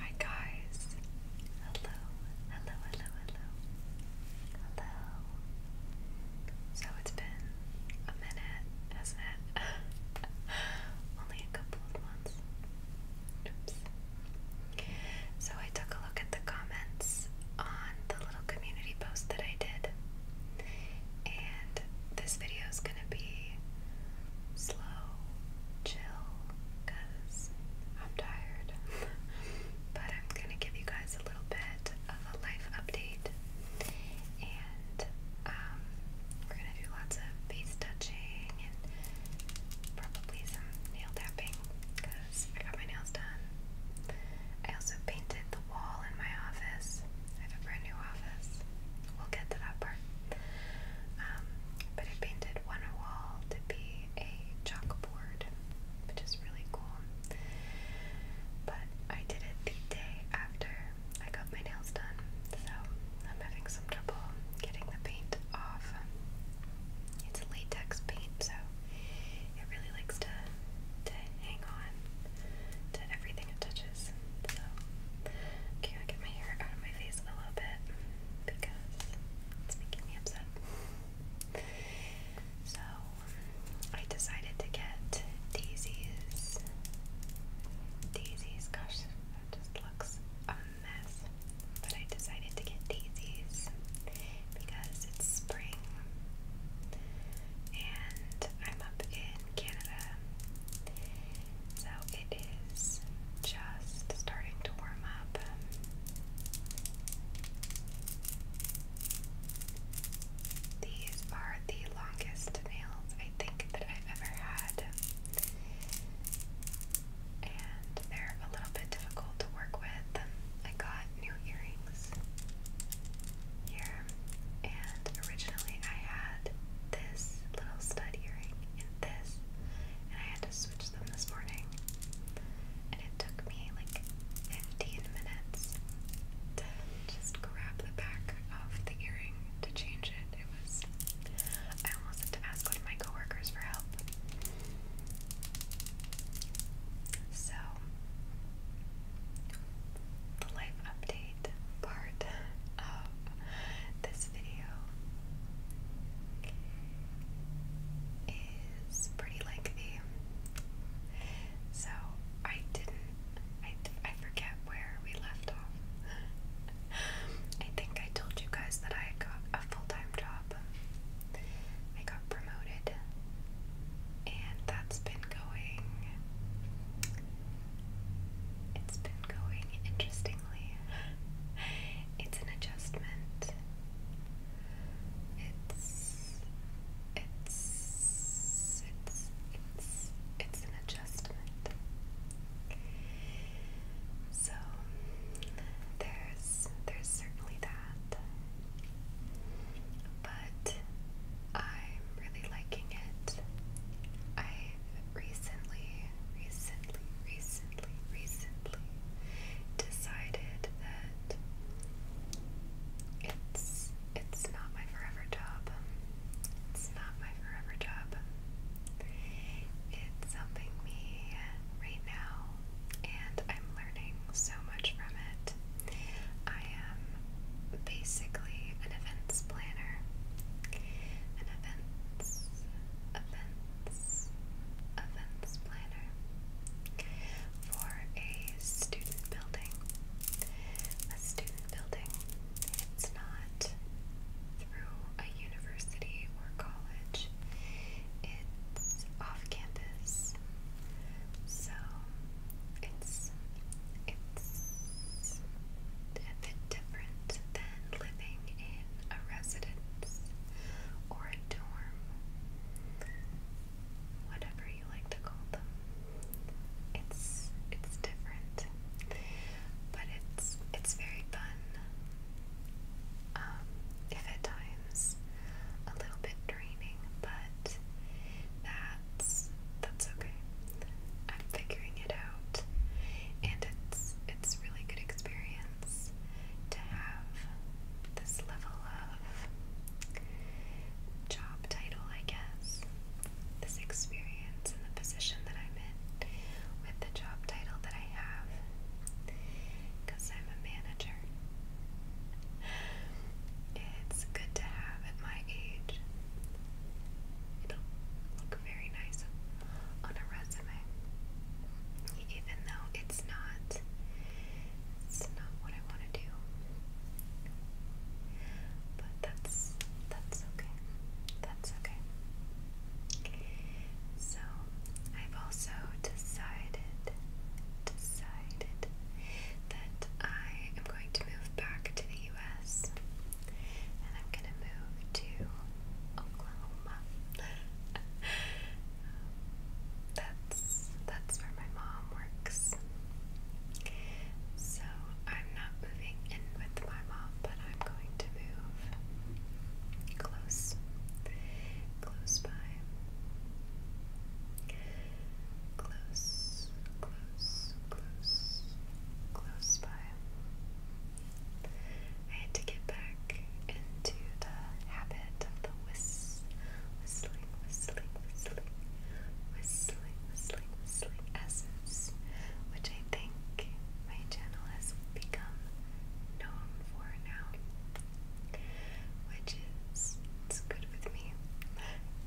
Hi guys. Hello. Hello, hello, hello. Hello. So it's been a minute, hasn't it? Only a couple of months. So I took a look at the comments on the little community post that I did. And this video is going to be slow, chill, because I'm tired. but I'm gonna give you guys a little bit of a life update, and um, we're gonna do lots of face touching and probably some nail tapping because I got my nails done. I also painted the wall in my office. I have a brand new office. We'll get to that part. Um, but I painted one wall to be a chalkboard, which is really cool. But I did it the day after I got my nails done, so I'm having some trouble getting the paint off. It's latex paint, so it really likes to to hang on to everything it touches okay, I get my hair out of my face a little bit because it's making me upset. So, I decided to get Daisy's. Daisy's, gosh, that just looks a mess. But I decided to get Daisy's because it's spring and I'm up in Canada. So it is just starting to warm up. These are the longest nails I think that I've ever had. And they're a little bit difficult to work with. I got new earrings here, and originally I had this little stud earring in this, and I had to switch them this morning. And it took me like 15 minutes to just grab the back of the earring to change it. It was, I almost had to ask one of my coworkers for help. So, the life update part of this video is pretty lengthy. So I didn't, I, I forget where we left off. I think I told you guys that I got a full time job. I got promoted, and that's been going it's been going interestingly. it's an adjustment. It's it's it's it's it's an adjustment. So there's there's certainly that. But I'm really liking it. i recently, recently, recently, recently decided that it's it's not my forever job. It's not my forever job. It's helping me right now, and I'm learning so much from it. I am basically an events planner. An events, events, events planner for a student building. A student building. It's not through a university or college. It's off campus. So it's it's a bit different than living in a residence or a dorm, whatever you like to call them. It's it's different, but it's it's very fun. Um, if at a little bit draining, but that's that's okay. I'm figuring it out, and it's it's really good experience to have this level of job title, I guess. This experience and the position that I'm in with the job title that I have, because I'm a manager. It's good to have at my age. It'll look very nice on a resume. Even though it's not it's not what I want to do. But that's that's okay. That's okay. So I've also decided decided that I am going to move back to the US. And I'm gonna move to Oklahoma. that's that's where my mom works. So I'm not moving in with my mom, but I'm going to move close. Close by. Close, close, close, close, by. I had to get back into the habit of the whis whistling, whistling, whistling, whistling, whistling, whistling essence, which I think my channel has become known for now. Which is it's good with me.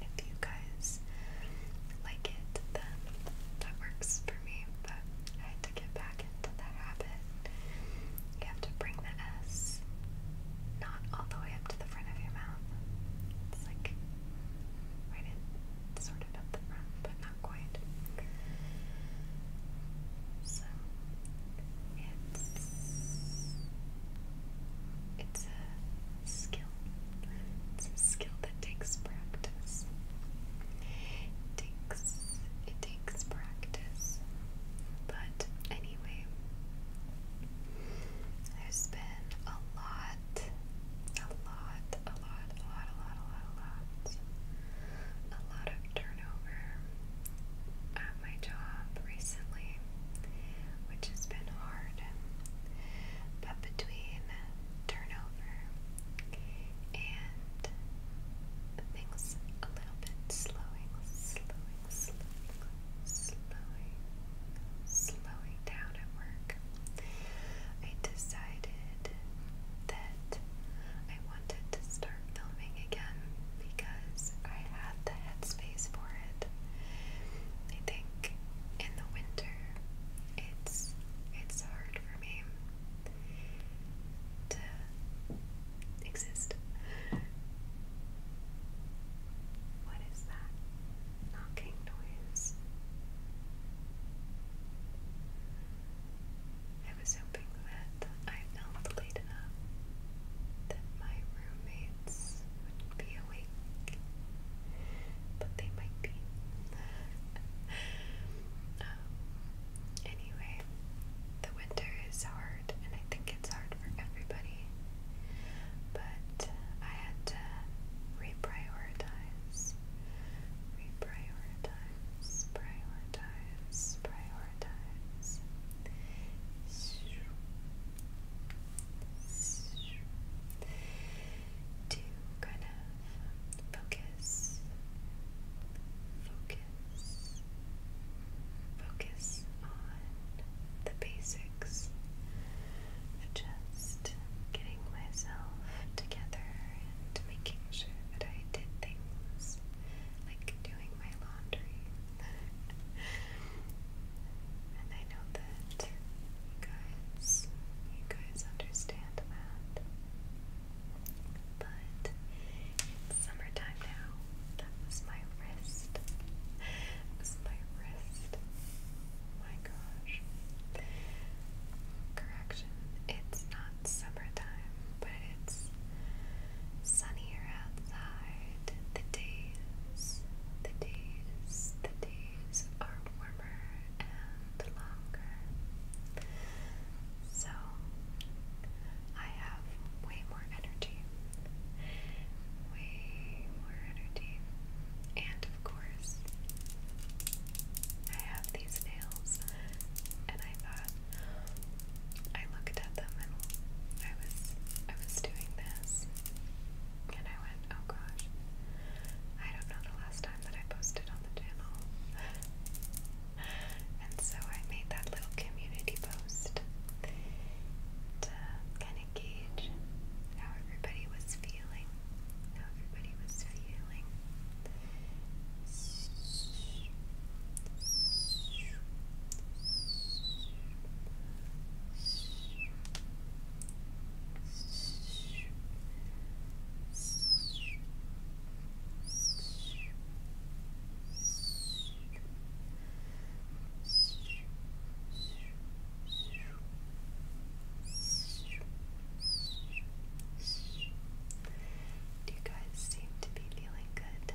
If you guys like it, then that works for me. But I had to get back into the habit. You have to bring the S not all the way up to the front of your mouth. It's like right in, sort of at the front, but not quite. So it's it's a skill it's a skill that takes practice. takes it takes practice. But anyway, there's been a lot, a lot, a lot, a lot, a lot, a lot, a lot, a lot of turnover at my job recently which has been hard. But between turnover and things a little bit slowing, slowing, slowing, slowing, down at work, I decided that I wanted to start filming again because I had the head space for it. I think in the winter it's it's hard for me to exist. What is that knocking noise? I was hoping that I felt late enough that my roommate lights would be awake, but they might be. Um, anyway, the winter is hard, and I think it's hard for everybody, but I had to reprioritize, reprioritize, prioritize, prioritize to kind of focus, focus, focus on the basics of just getting myself together and making sure that I did things like doing my laundry. and I know that you guys you guys understand that. But it's summertime now. That was my wrist. was my wrist. my gosh. Correction. It's not summertime, but it's sunnier outside. The days, the days, the days are warmer and longer. So I have way more energy. Way more energy. And of course, I have these nails, and I thought, I looked at them and I was I was doing this and I went, oh gosh, I don't know the last time that I posted on the channel. and so I made that little community post to kind of gauge how everybody was feeling. How everybody was feeling. Do you guys seem to be feeling good?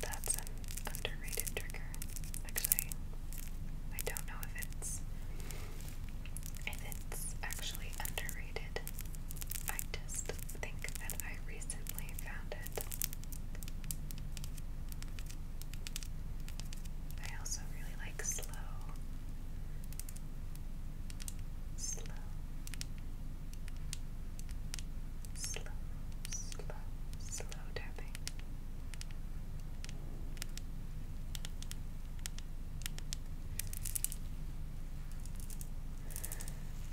That's an underrated trigger. Actually, I don't know if it's if it's actually underrated. I just think that I recently found it. I also really like slow. Slow. Slow, slow, slow tapping.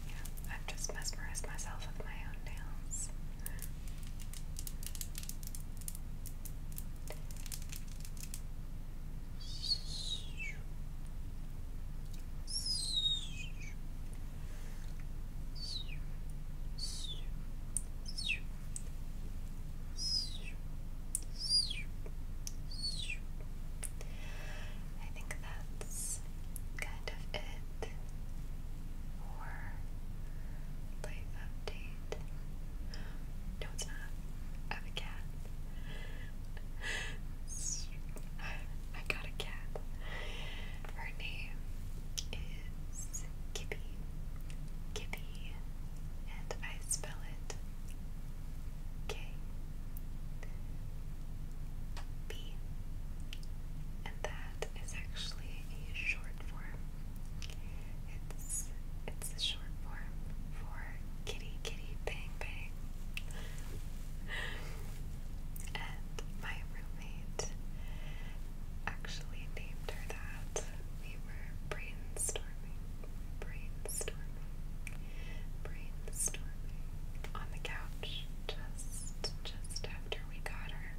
Yeah, I've just mesmerized myself with my own nails. I think that's kind of it for life update. No, it's not. I have a cat. I got a cat. Her name is Kippy. Kippy, and I spell it K B, and that is actually a short form. It's it's a short form for kitty kitty bang bang. and my roommate actually named her that. We were brainstorming, brainstorming, brainstorming on the couch just just after we got her.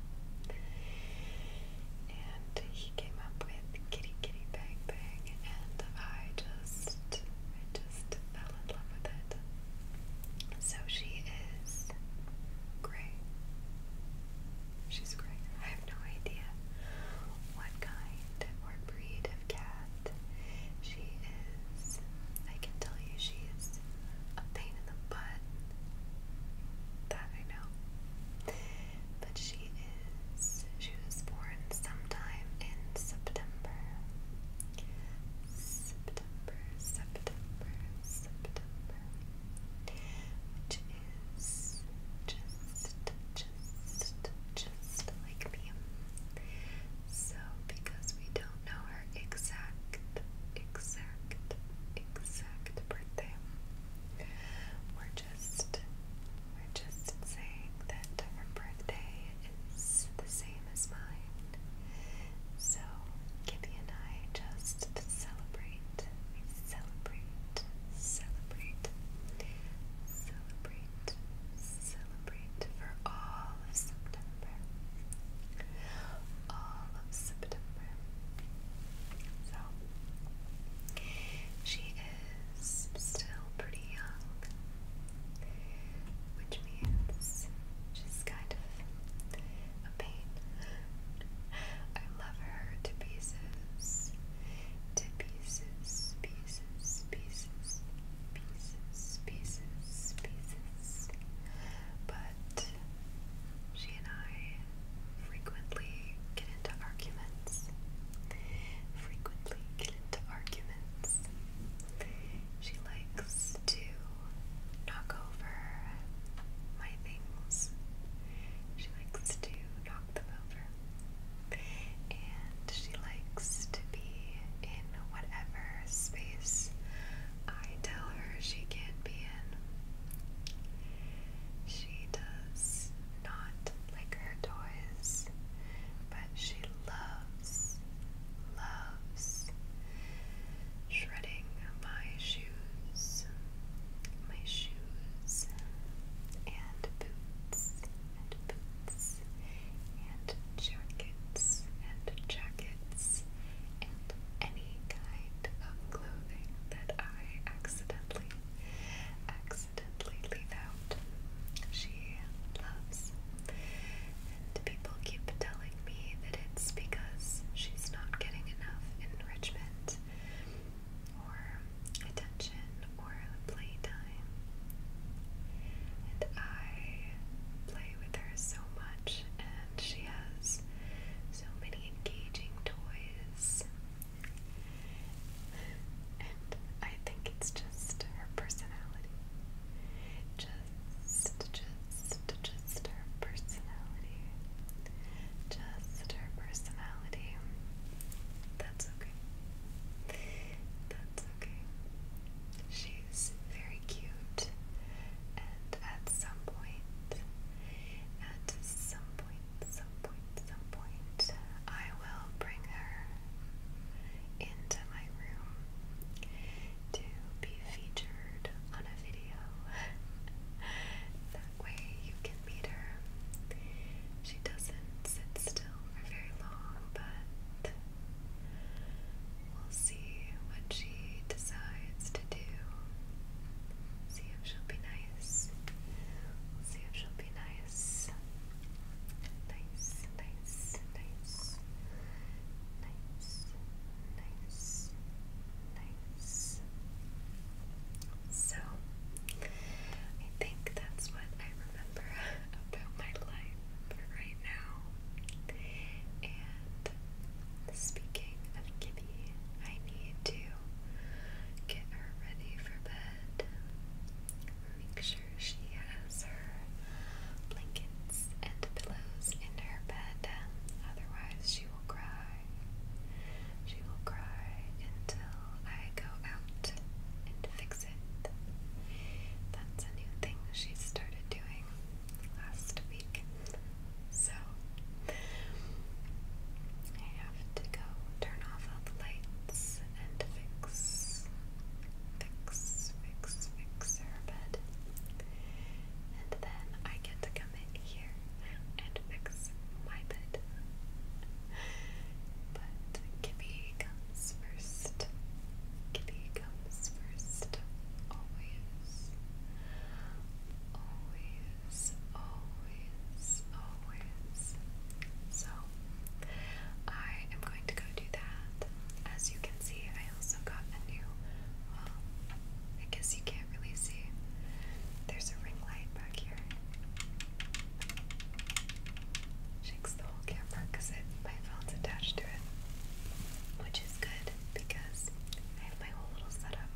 And he came up with kitty kitty bang bang and I just I just fell in love with it. So she is gray. She's gray. I have no idea what kind or breed of cat she is. I can tell you she is a pain in the butt. That I know. But she she was born sometime in September. September, September, September. Which is just, just, just like me. So, because we don't know her exact, exact, exact birthday, we're just we're just saying that her birthday is the same as mine. So Kitty and I just celebrate. celebrate, celebrate, celebrate, celebrate for all of September. All of September. So she is still pretty young, which means she's kind of a pain. I love her to pieces, to pieces, pieces, pieces, pieces, pieces, pieces. But she and I frequently get into arguments. Frequently violent arguments. She likes to knock over my things. She likes to knock them over. And she likes to be in whatever space I tell her she can be in. She does not like her toys but she loves, loves shredding my shoes, my shoes, and boots, and boots, and jackets, and jackets, and any kind of clothing that I accidentally, accidentally out. She loves. And people keep telling me that it's because she's not getting enough enrichment or attention or playtime. And I play with her so much, and she has so many engaging toys and I think it's just her personality. Just, just, just her personality. Just her personality. That's okay. That's okay. She's very cute, and at some point, at some point some point, some point, I will bring her into my room to be featured on a video. that way you can meet her. She doesn't sit still for very long, but we'll see what she decides to do. See if she'll be nice. see if she'll be nice. Nice, nice, nice, nice, nice, nice, So, I think that's what I remember about my life right now. And speaking of Gibby, I need to get her ready for bed. Make sure she has her blankets and pillows in her bed, otherwise, she will cry. She will cry until I go out and fix it. That's a new thing she started doing last week. So, to go turn off all the lights and fix, fix, fix, fix her bed. And then I get to come in here and fix my bed. But Gibby comes first. Gibby comes first. Always. Always always, always, So, I am going to go do that. As you can see, I also got a new, well, um, I guess you can't really see. There's a ring light back here. Shakes the whole camera because my phone's attached to it. Which is good because I have my whole little setup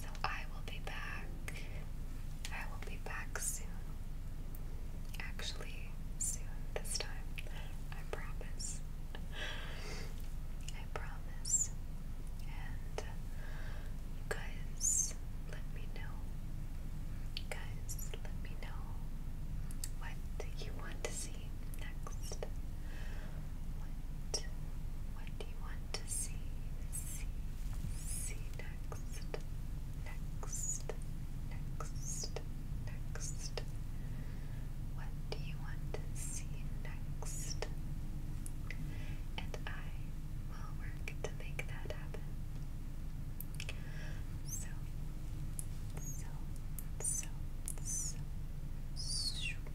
so I will be back. I will be back soon. Actually, soon this time. I promise. I promise. And guys, let me know. guys, let me know what you want to see next. What, what what do you want to see? See, see next, next, next, next. What do you want to see next? And I will work to make that happen. So, so, so, so,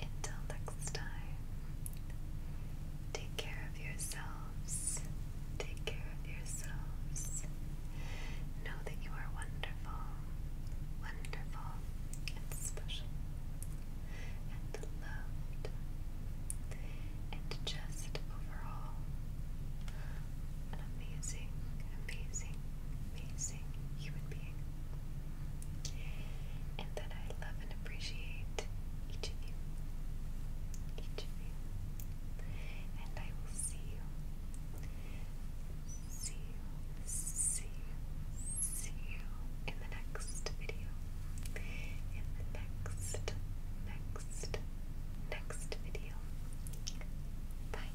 until next time, take care of yourselves. Take care of yourselves. Know that you are wonderful, wonderful, and special, and loved, and just overall an amazing, amazing, amazing human being. And that I love and appreciate each of you. Each of you. And I will see you. See you. See you. See you in the next video. In the next, next, next video. Bye.